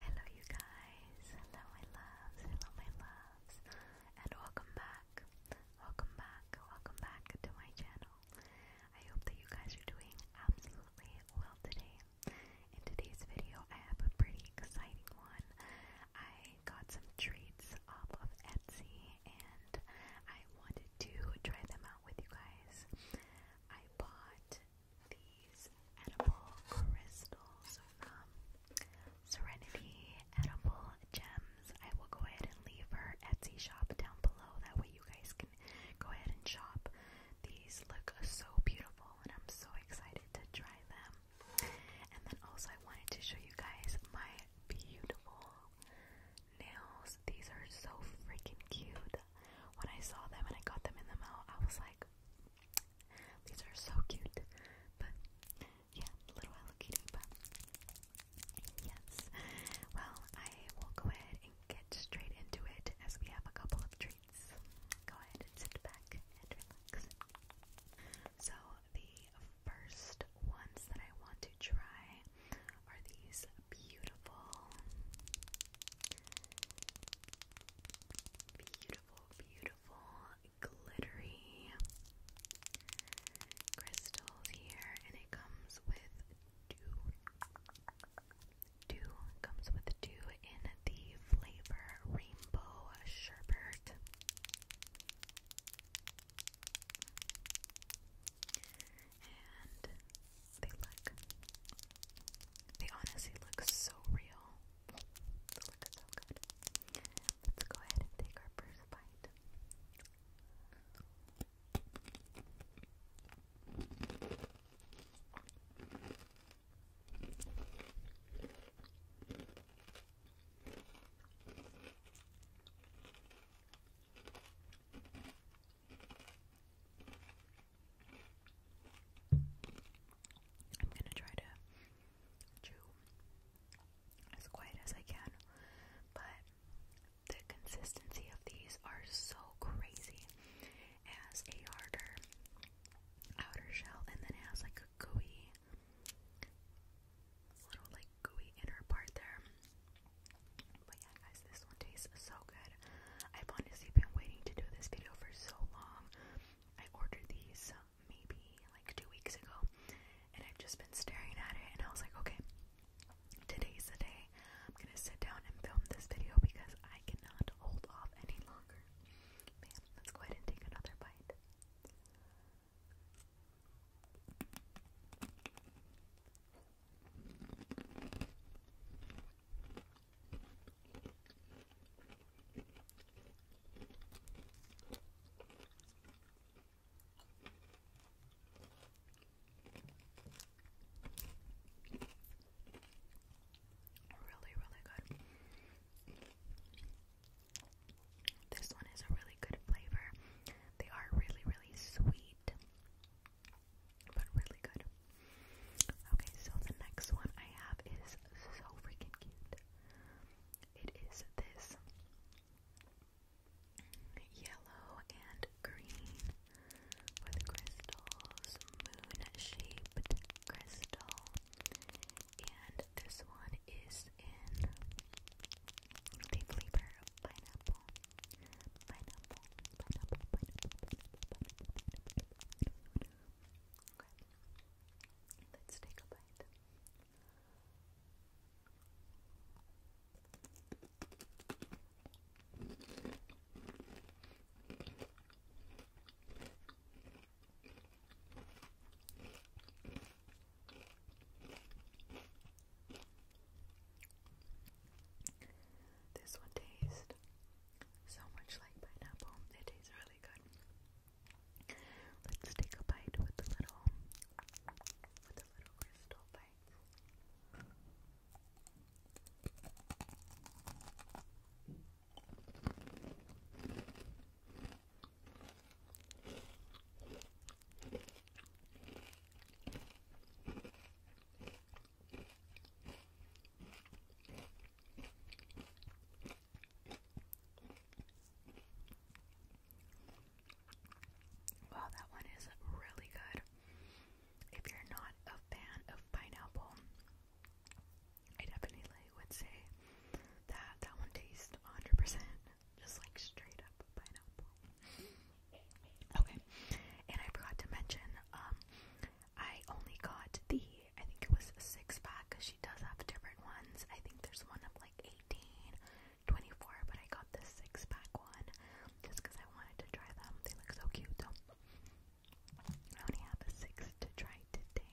Hello you guys, hello my loves, hello my loves, and welcome back, welcome back, welcome back to my channel. I hope that you guys are doing absolutely well today. In today's video I have a pretty exciting one. I got some treats off of Etsy and I wanted to try them out with you guys. I bought these edible crystals from um, Serenity Edible Gems. I will go ahead and leave her Etsy shop down below. That way you guys can go ahead and shop. These look so beautiful and I'm so excited to try them. And then also I wanted to show you guys my beautiful nails. These are so freaking cute. When I saw them and I got them in the mail, I was like, these are so cute. But yeah, little Hello Kitty. But yes. Well, I will go ahead and get straight into it as we have a couple of treats. Go ahead and sit back and relax. So the first ones that I want to try are these beautiful beautiful, beautiful, glittery crystals here, and it comes with two. Two comes with two in the flavor rainbow sherbet. They look. They honestly look so real. They look so good. Let's go ahead and take our first bite. I'm gonna try to chew as quiet as I can, but the consistency of these are so crazy. It has a harder outer shell, and then it has like a gooey little like gooey inner part there. But yeah, guys, this one tastes so good. I've honestly been waiting to do this video for so long. I ordered these maybe like two weeks ago, and I've just been staring at it, and I was like, okay, today's the day. I'm gonna sit down and film this video because I cannot hold off any longer. Man, let's go ahead and take another bite. Really, really good. This one is a really good flavor. They are really, really sweet but really good. Okay, so the next one I have is so freaking cute. It is this yellow and green with crystals, moon shaped crystal, and this one is in the flavor pineapple. Pineapple, pineapple, Let's take a bite. This one tastes so much like pineapple. It tastes really good. Let's take a bite with the little with the little crystal bite. Wow, that one is really good. If you're not a fan of pineapple, I definitely would say that that one tastes 100% just like straight up pineapple. Okay, and I forgot to mention, um, I only got the, I think it was a six pack, cause she does have different ones, I think there's one of like 18, 24, but I got the six pack one, just cause I wanted to try them, they look so cute, so, I only have a six to try today,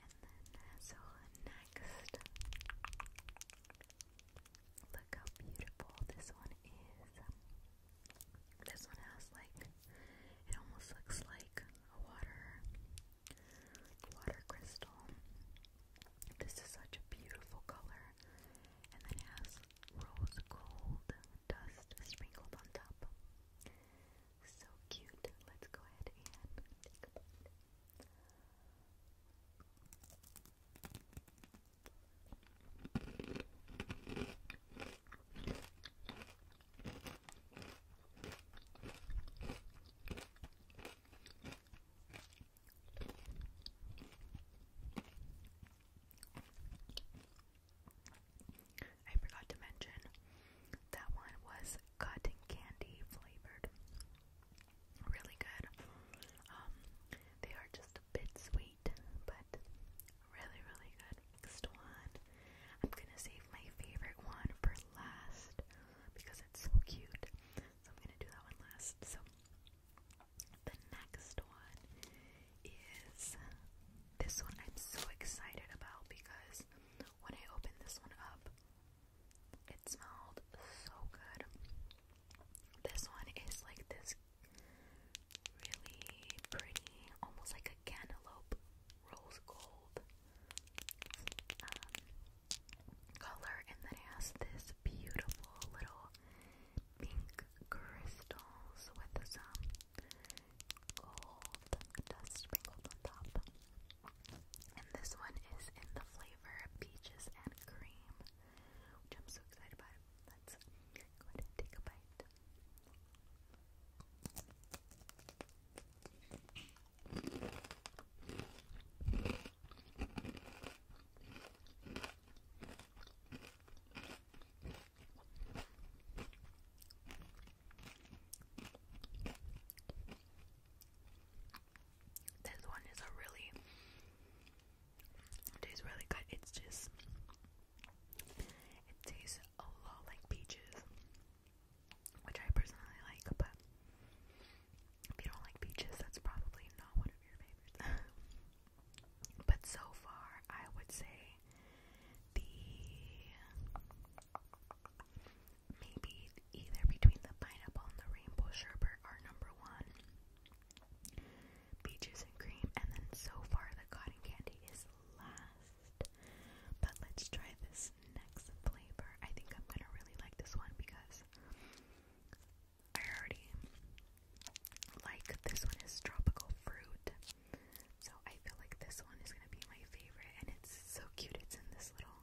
and then, so next, Look how beautiful this one is. This one has like, it almost looks like a water, water crystal. This is such a beautiful color. And then it has rose gold dust sprinkled on top. So cute. Let's go ahead and take a bite. I forgot to mention that one was cotton candy flavored. Really good. Um, they are just a bit sweet, but really, really good. Next one. I'm gonna save my favorite one for last because it's so cute. So I'm gonna do that one last. So the next one is this one I'm so excited about because when I opened this one up, it smelled so good. This one is like this really pretty, almost like a cantaloupe rose gold um, color, and then has this beautiful little pink crystals with some gold dust sprinkled on top. And this one is in the flavor peaches and cream which I'm so excited about. Let's go ahead and take a bite. This one is a really tastes really good. It's just it tastes a lot like peaches, which I personally like. But if you don't like peaches, that's probably not one of your favorites. but so far, I would say the maybe either between the pineapple and the rainbow sherbet are number one. Beaches and cream, and then so far the cotton candy is last. But let's try this next flavor. I think I'm gonna really like this one because I already like this one is tropical fruit. So I feel like this one is gonna be my favorite, and it's so cute. It's in this little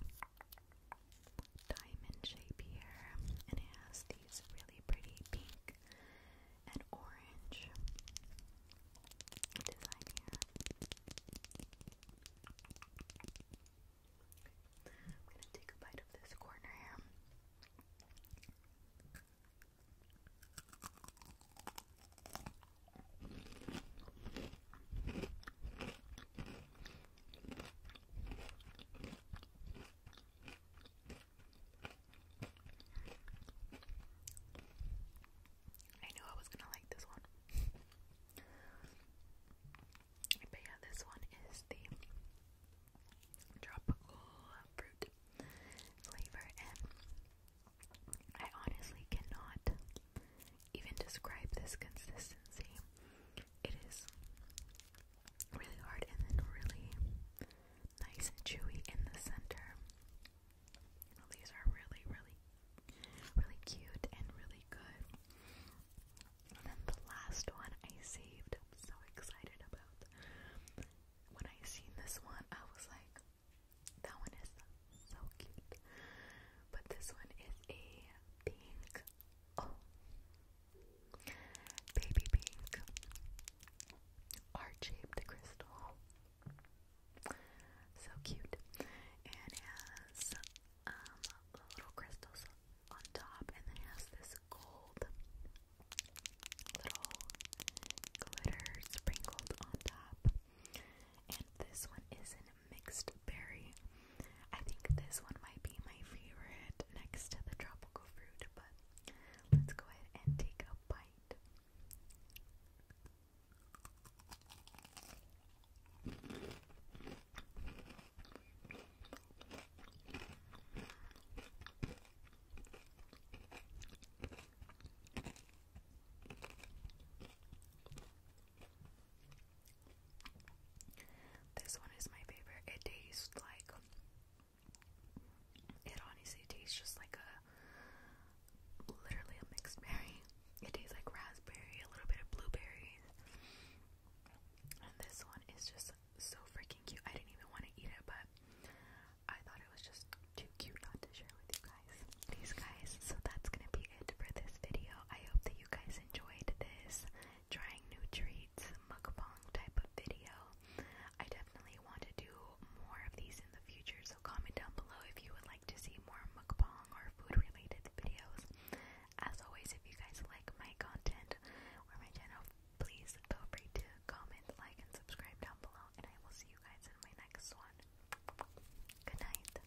diamond shape here, and it has these really pretty pink and orange design here. I'm gonna take a bite of this corner here. I knew I was gonna like this one. but yeah, this one is the tropical fruit flavor, and I honestly cannot even describe this consistency. It is really hard and then really nice and chewy in the center. These are really, really, really cute and really good. And then the last one I saved. I'm so excited about. When I seen this one, I was like, that one is so cute. But this one is a pink Oh. Baby pink. Heart shaped crystal. So cute. And has um, little crystals on top, and then has this gold little glitter sprinkled on top. And this one is an mixed berry. I think this one might be my favorite next to the tropical fruit, but let's go ahead and take a bite. This one is my favorite. It tastes like it honestly tastes just like a literally a mixed berry. It tastes like raspberry, a little bit of blueberries. And this one is just so freaking cute. I didn't even want to eat it, but I thought it was just too cute not to share with you guys. These guys, so that's gonna be it for this video. I hope that you guys enjoyed this trying new treats mukbang type of video. I definitely want to do more of these in the future, so comment down below if you would like to see more mukbang or food related videos. As always, if you guys like my content or my channel, please feel free to comment, like, and subscribe down below, and I will see you guys in my next one. Good night.